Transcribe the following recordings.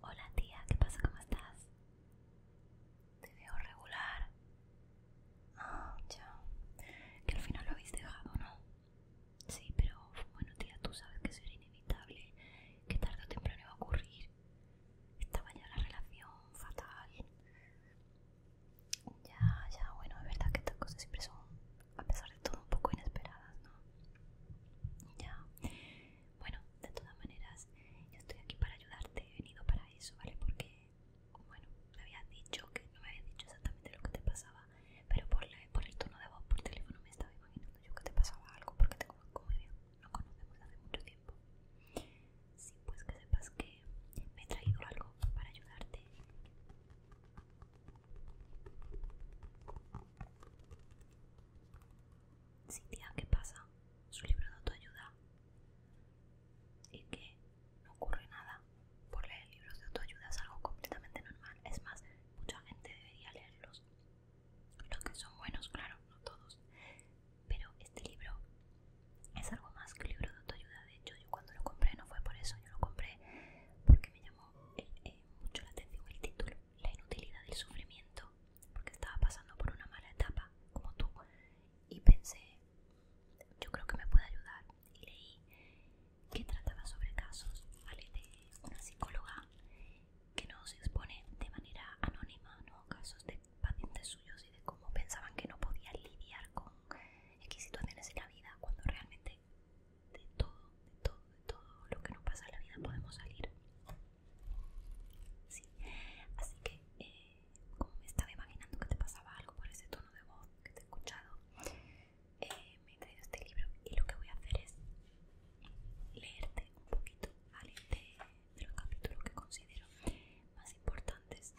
Hola tía, ¿qué pasa? ¿Cómo estás? Te veo regular. Ah, ya. Que al final lo habéis dejado, ¿no? Sí, pero bueno tía, tú sabes que eso era inevitable, que tarde o temprano iba a ocurrir. Estaba ya la relación fatal. Ya, ya, bueno, es verdad que estas cosas siempre son, a pesar de todo, un poco inesperadas, ¿no? Ya. Bueno, de todas maneras, yo estoy aquí para ayudarte, he venido para eso, ¿vale? Porque, bueno, me había dicho que no me habías dicho exactamente lo que te pasaba, pero por, el tono de voz por teléfono me estaba imaginando yo que te pasaba algo porque te conozco muy no conocemos hace mucho tiempo. Sí, pues que sepas que me he traído algo para ayudarte. Cintia, ¿qué pasa? Su libro de autoayuda. ¿Y que, No ocurre nada. Por leer libros de autoayuda es algo completamente normal. Es más, mucha gente debería leerlos. Los que son buenos, claro, no todos. Pero este libro es algo más que un libro de autoayuda. De hecho, yo cuando lo compré no fue por eso, yo lo compré porque me llamó eh, eh, mucho la atención el título, La inutilidad del sufrimiento, porque estaba pasando por una mala etapa, como tú, y pensé, yo creo que me puede ayudar. Y leí que trataba sobre casos, ¿vale? De una psicóloga que nos expone de manera anónima, ¿no? Casos de pacientes suyos y de cómo pensaban que no podían lidiar con es situaciones en la vida cuando realmente de todo, de todo, de todo lo que nos pasa en la vida podemos salir. así que eh, como me estaba imaginando que te pasaba algo por ese tono de voz que te he escuchado, eh, me he traído este libro y lo que voy a hacer es leerte un poquito, ¿vale? De, de los capítulos que considero más importantes.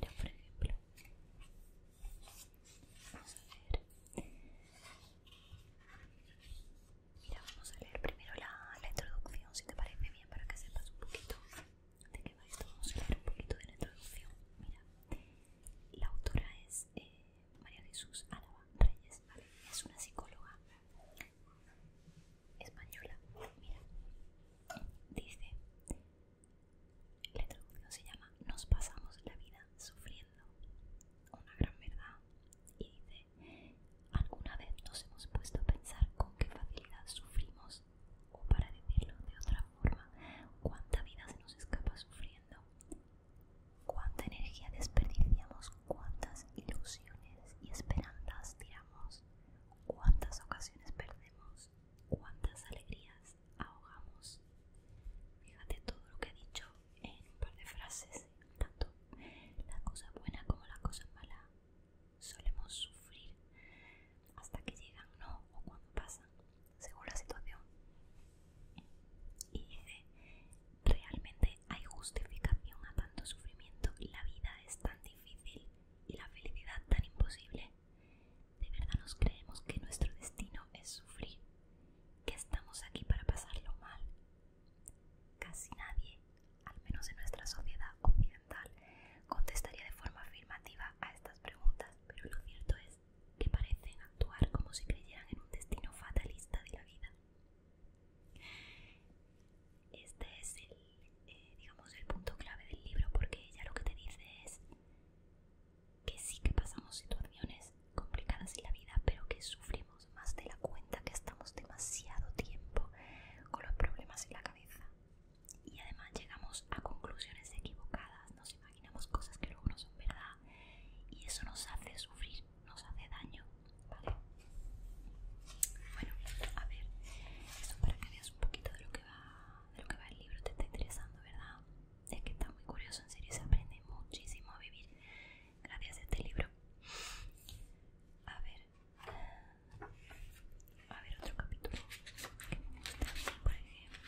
Mira, por ejemplo, Vamos a ver. Mira, vamos a leer primero la, introducción, si te parece bien, para que sepas un poquito de qué va esto. Vamos a leer un poquito de la introducción. Mira, la autora es eh, María Jesús Álava Reyes, Es una psicóloga española. Mira, dice: la introducción se llama Nos pasamos la vida sufriendo. Una gran verdad. Y dice, ¿alguna vez nos hemos puesto a pensar con qué facilidad sufrimos? O para decirlo de otra forma, ¿cuánta vida se nos escapa sufriendo? ¿Cuánta energía desperdiciamos? ¿Cuántas ilusiones y esperanzas tiramos? ¿Cuántas ocasiones perdemos? ¿Cuántas alegrías? ahogamos. Fíjate todo lo que he dicho en un par de frases, tanto la cosa buena como la cosa mala solemos sufrir hasta que llegan, no, o cuando pasan, según la situación. Y dice, realmente hay justificación a tanto sufrimiento, la vida es tan difícil y la felicidad tan imposible ¿De verdad nos creemos que nuestro destino es sufrir? ¿Que estamos aquí para pasarlo mal? Casi nadie, al menos en nuestra sociedad occidental, contestaría de forma afirmativa a estas preguntas, pero lo cierto es que parecen actuar como si creyeran en un destino fatalista de la vida. Este es el, eh, digamos, el punto clave del libro porque ella lo que te dice es que sí que pasamos situaciones complicadas en la vida, pero que sufrimos más de la cuenta, que estamos demasiado tiempo con los problemas en la cabeza. Y además llegamos a conclusiones equivocadas, nos imaginamos cosas que luego no son verdad y eso nos hace sufrir, nos hace daño, ¿vale? Bueno, a ver, eso para que veas un poquito de lo que va, de lo que va el libro, te está interesando, ¿verdad? Es que está muy curioso, en serio, se aprende muchísimo a vivir gracias a este libro. A ver, a ver otro capítulo que me gusta por ejemplo.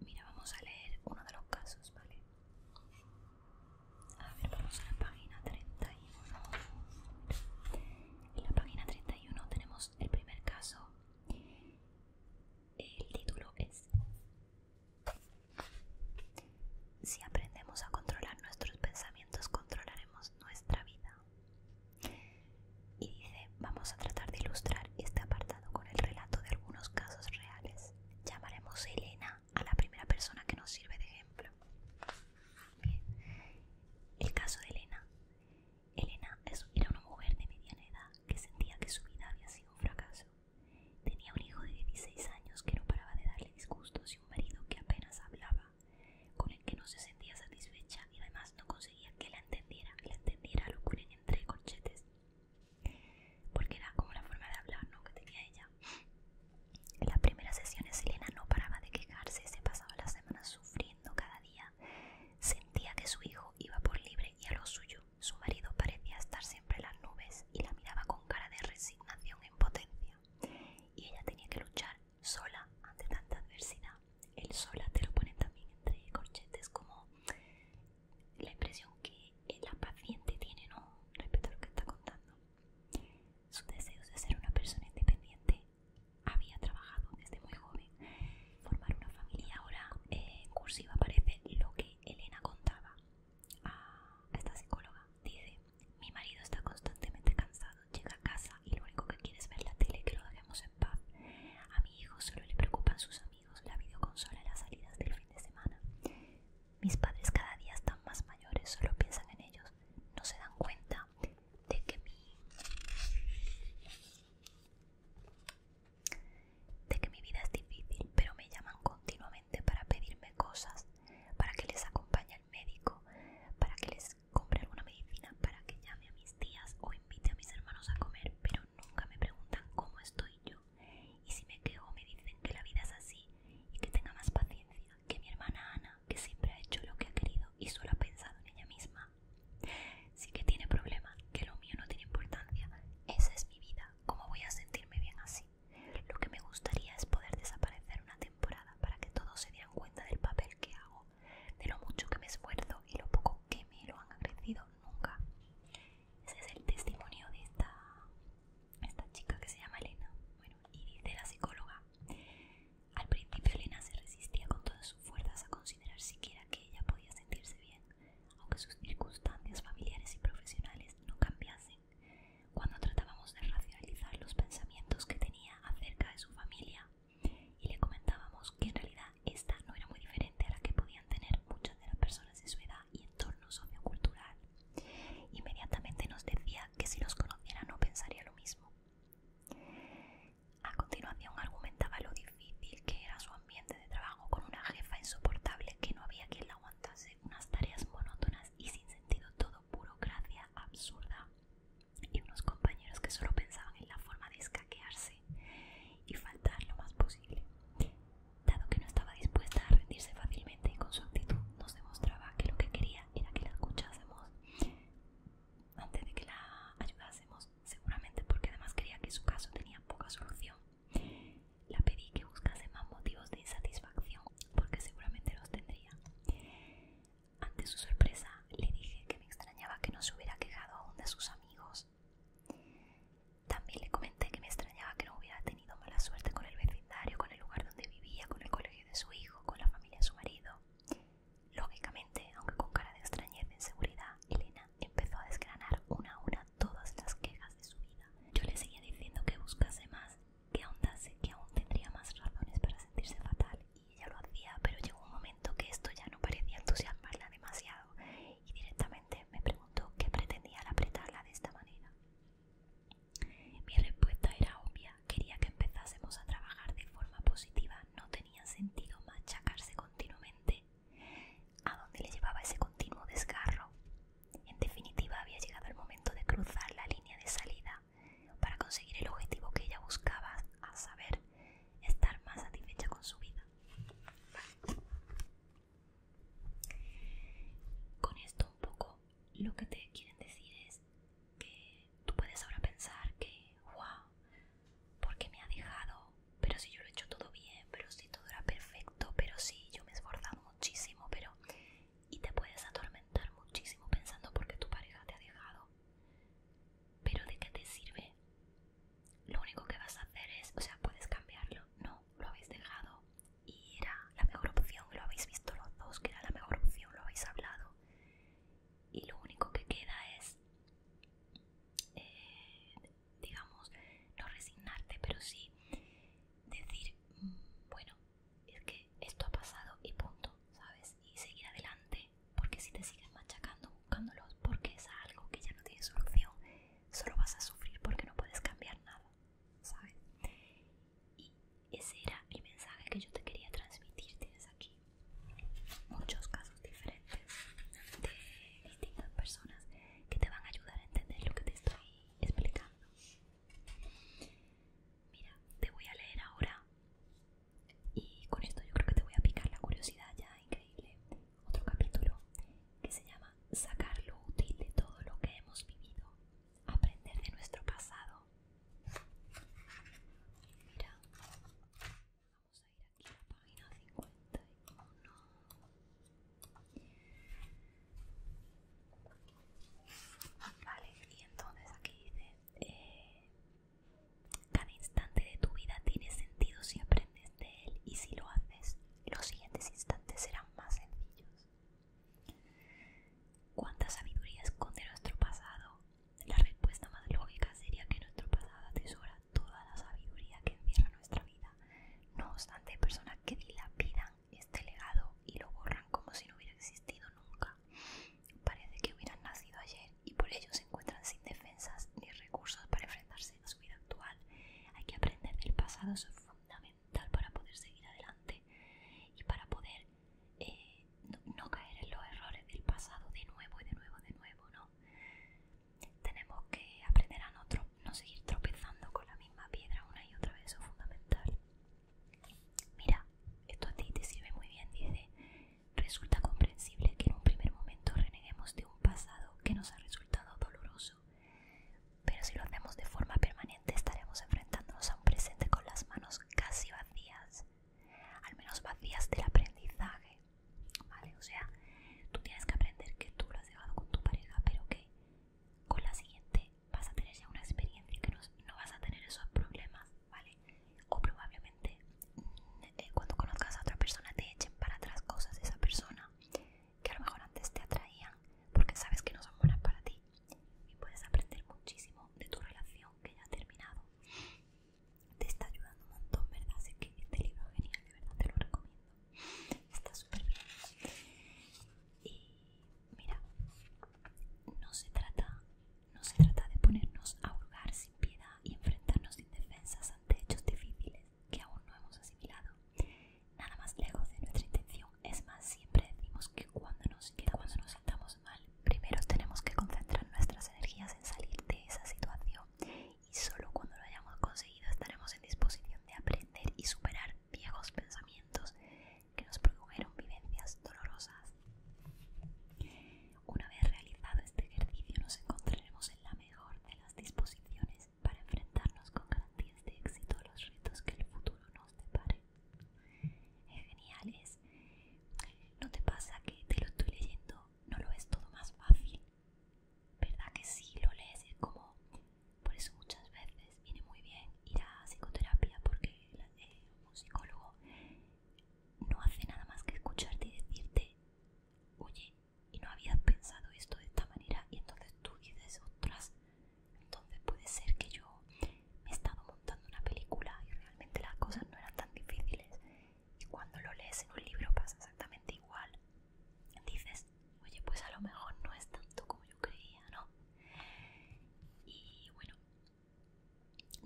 Mira, vamos a leer uno de los casos, ¿vale? A ver, vamos a la página 31. En la página 31 tenemos el primer caso. El título es Si aprendemos a controlar nuestros pensamientos, controlaremos nuestra vida. Y dice, vamos a tratar de ilustrar este apartado con el relato de algunos casos reales. Llamaremos Elena a la primera persona que nos sirve de ejemplo. El caso de Elena. Elena era una mujer de mediana edad que sentía que su vida había sido un fracaso. Tenía un hijo de 16 años que no paraba de darle disgustos y un marido que apenas hablaba, con el que no se sentía satisfecha y además no conseguía que la entendiera, la entendiera locura entre corchetes. Porque era como la forma de hablar, Que tenía ella. En las primeras sesiones Elena no paraba de quejarse, se pasaba las semanas sufriendo cada día. Sentía que su hijo iba por libre y a lo suyo. Su marido parecía estar siempre en las nubes y la miraba con cara de resignación en potencia. Y ella tenía que luchar sola ante tanta adversidad. El sola te lo ponen también entre corchetes como la impresión que la paciente tiene, ¿no? Respecto lo que está contando. Sus deseos de ser una persona independiente había trabajado desde muy joven. Formar una familia ahora eh, en cursiva aparece lo que Elena contaba a esta psicóloga. Dice, mi marido está constantemente cansado, llega a casa y lo único que quiere es ver la tele que lo dejemos en paz. A mi hijo solo le preocupan sus amigos, la videoconsola, las salidas del fin de semana. Mis padres cada día están más mayores, solo piensan en ellos, no se dan cuenta que de que mi vida es difícil, pero me llaman continuamente para pedirme cosas, para que les acompañe al médico, para que les compre alguna medicina, para que llame a mis tías o invite a mis hermanos a comer, pero nunca me preguntan cómo estoy yo. Y si me quejo me dicen que la vida es así y que tenga más paciencia, que mi hermana Ana, que siempre ha hecho lo que ha querido y solo ha pensado en ella misma. Sí que tiene problemas, que lo mío no tiene importancia. Esa es mi vida. ¿Cómo voy a sentirme bien así? Lo que me gustaría es poder desaparecer una temporada para que todos se dieran cuenta del papel que hago, de lo mucho que me esfuerzo y lo poco que me lo han agradecido nunca. Ese es el testimonio de esta, esta chica que se llama Elena. y dice la psicóloga al principio Elena se resistía con todas sus fuerzas a considerar siquiera que ella podía sentirse bien, aunque sus circunstancias familiares y profesionales no cambiasen. Cuando tratábamos de racionalizar los pensamientos que tenía acerca de su familia y le comentábamos que en realidad esta no era muy diferente a la que podían tener muchas de las personas de su edad y entorno sociocultural, inmediatamente nos decía que si los conociera no pensaría lo mismo. A continuación argumentaba lo difícil que era su ambiente de trabajo con una jefa insoportable que no había quien la aguantase, unas tareas monótonas y sin sentido, todo burocracia absurda y unos compañeros que solo pensaban en la forma de escaquearse y faltar lo más posible. Dado que no estaba dispuesta a rendirse fácilmente y con su actitud nos demostraba que lo que quería era que la escuchásemos, antes de que la ayudásemos, seguramente porque además creía que su caso tenía poca solución. La pedí que buscase más motivos de insatisfacción, porque seguramente los tendría. Ante su sorpresa, le dije que me extrañaba que no se hubiera quejado aún de sus amigos. También le comenté que me extrañaba que no hubiera tenido mala suerte con el vecindario, con el lugar donde vivía, con el colegio de su hijo, con la familia de su marido. Lógicamente, aunque con cara de extrañeza e inseguridad, Elena empezó a desgranar una a una todas las quejas de su vida. Yo le seguía diciendo que buscase más, que ahondase, que aún tendría más razones para sentirse fatal, y ella lo hacía, pero llegó un momento que esto ya no parecía entusiasmarla demasiado, y directamente me preguntó qué pretendía al apretarla de esta manera. Mi respuesta era obvia quería que empezásemos a trabajar de forma positiva. No tenía sentido machacarse continuamente. ¿A dónde le llevaba ese continuo desgarro? En definitiva, había llegado el momento de cruzar la línea de salida para conseguir el objetivo que ella buscaba, a saber, estar más satisfecha con su vida. Con esto un poco lo que te quieren decir es que tú puedes ahora pensar que, wow, porque me ha dejado, pero si yo lo he hecho todo bien, pero si todo era perfecto, pero si yo me he esforzado muchísimo, pero... Y te puedes atormentar muchísimo pensando porque tu pareja te ha dejado. Pero ¿de qué te sirve? Lo único que vas a hacer es, o sea, puedes cambiarlo. No, lo habéis dejado y era la mejor opción, lo habéis visto los dos, que era la mejor opción, lo habéis hablado y lo único que queda es, eh, digamos, no resignarte, pero sí decir, mm, bueno, es que esto ha pasado y punto, ¿sabes? Y seguir adelante, porque si te sigues machacando, buscándolos, porque es algo que ya no tiene solución, solo vas a sufrir porque no puedes cambiar nada, ¿sabes? Y ese era el mensaje que yo te quería transmitir, tienes aquí muchos casos diferentes de distintas personas que te van a ayudar a entender lo que te estoy explicando. Mira, te voy a leer ahora y con esto yo creo que te voy a picar la curiosidad ya increíble. Otro capítulo que se llama Sacar lo útil de todo lo que hemos vivido, aprender de nuestro pasado vamos a ir aquí a página 51. Vale, y entonces aquí dice, eh, cada instante de tu vida tiene sentido si aprendes de él y si lo haces, los siguientes instantes serán más sencillos. Cuánta sabiduría esconde nuestro pasado la respuesta más lógica sería que nuestro pasado atesora toda la sabiduría que encierra nuestra vida. No obstante, hay personas que dilapidan este legado y lo borran como si no hubiera existido nunca. Parece que hubieran nacido ayer y por ello se encuentran sin defensas ni recursos para enfrentarse a su vida actual. Hay que aprender del pasado, es fundamental para poder seguir adelante y para poder eh, no, caer en los errores del pasado de nuevo y de nuevo, de nuevo, ¿no? Tenemos que aprender a no, no seguir tropezando con la misma piedra una y otra vez, eso es fundamental. Mira, esto a ti te sirve muy bien, dice. Resulta comprensible que en un primer momento reneguemos de un pasado que nos ha resultado doloroso, pero si lo hacemos de forma permanente estaremos enfrentándonos a un presente con las manos casi vacías al menos vacías del aprendizaje, ¿vale? O sea, tú tienes que aprender que tú lo has llevado con tu pareja, pero que con la siguiente vas a tener ya una experiencia que no, vas a tener esos problemas, ¿vale? O probablemente eh, cuando conozcas a otra persona te echen para atrás cosas de esa persona que a lo mejor antes te atraían porque sabes que no son buenas para ti y puedes aprender muchísimo de tu relación que ya ha terminado te está ayudando un montón, ¿verdad? Así que este libro genial, de verdad te lo recomiendo. Está súper bien. Y mira, no se trata, no se trata de ponernos a hurgar sin piedad y enfrentarnos sin defensas ante hechos difíciles que aún no hemos asimilado. Nada más lejos de nuestra intención. Es más, siempre decimos que cuando nos, que cuando nos sentamos primero tenemos que concentrar nuestras energías en salir de esa situación y solo cuando lo hayamos conseguido estaremos en disposición de aprender y superar viejos pensamientos que nos produjeron vivencias dolorosas. Una vez realizado este ejercicio nos encontraremos en la mejor de las disposiciones para enfrentarnos con garantías de éxito a los retos que el futuro nos depare. Geniales ¿no te pasa que te lo estoy leyendo ¿no lo es todo más fácil? ¿Verdad que sí lo lees? Es como, por eso muchas veces viene muy bien ir a psicoterapia porque eh, un psicólogo no hace nada más que escucharte y decirte, oye, y no habías pensado esto de esta manera y entonces tú dices, otras, entonces puede ser que yo me he estado montando una película y realmente las cosas no eran tan difíciles cuando lo lees en un libro pasa exactamente igual. Dices, oye, pues a lo mejor no es tanto como yo creía, ¿no? Y bueno,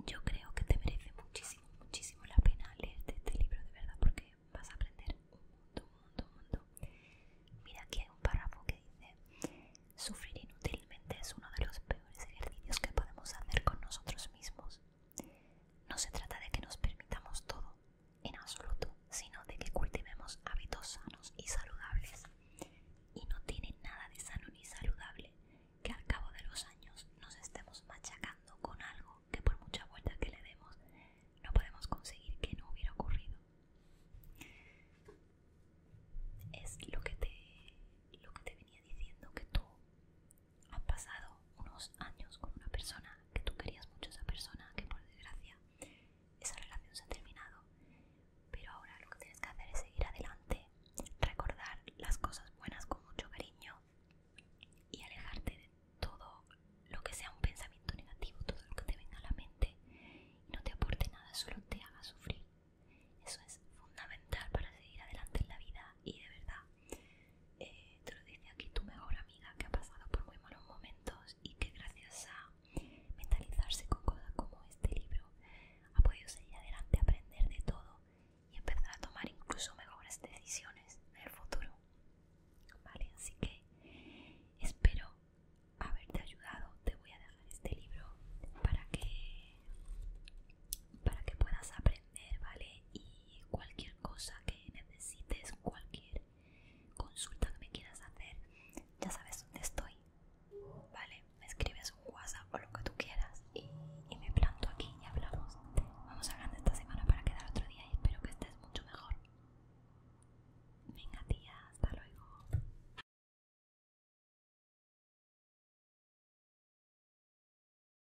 yo creo que te merece muchísimo, muchísimo la pena leer este libro de verdad porque vas a aprender un mundo, un mundo, un mundo Mira, aquí hay un párrafo que dice, sufrir inútilmente es uno de los peores ejercicios que podemos hacer con nosotros mismos. No se trata de que nos permitamos todo, en absoluto, sino de que cultivemos hábitos sanos y saludables. Y no tiene nada de sano ni saludable que al cabo de los años nos estemos machacando con algo que por mucha vuelta que le demos no podemos conseguir que no hubiera ocurrido. Es lo que te, lo que te venía diciendo que tú han pasado unos años con una persona que tú querías mucho esa persona, que por desgracia esa relación se ha terminado, pero ahora lo que tienes que hacer es seguir adelante, recordar las cosas buenas con mucho cariño y alejarte de todo lo que sea un pensamiento negativo, todo lo que te venga a la mente y no te aporte nada, solo te haga sufrir. Eso es fundamental para seguir adelante en la vida y de verdad te lo dice aquí tu mejor amiga que ha pasado por muy malos momentos y que gracias a mentalizarse con cosas como este libro ha podido seguir adelante, aprender de todo y empezar a tomar incluso mejores decisiones en el futuro. Vale, así que espero haberte ayudado. Te voy a dejar este libro para que para que puedas aprender ¿vale? Y cualquier cosa que necesites, cualquier consulta que me quieras hacer, ya sabes dónde estoy, ¿vale? Me escribes un WhatsApp o lo que tú quieras y, y me planto aquí y hablamos. Vamos hablando esta semana para quedar otro día y espero que estés mucho mejor. Venga tía, hasta luego.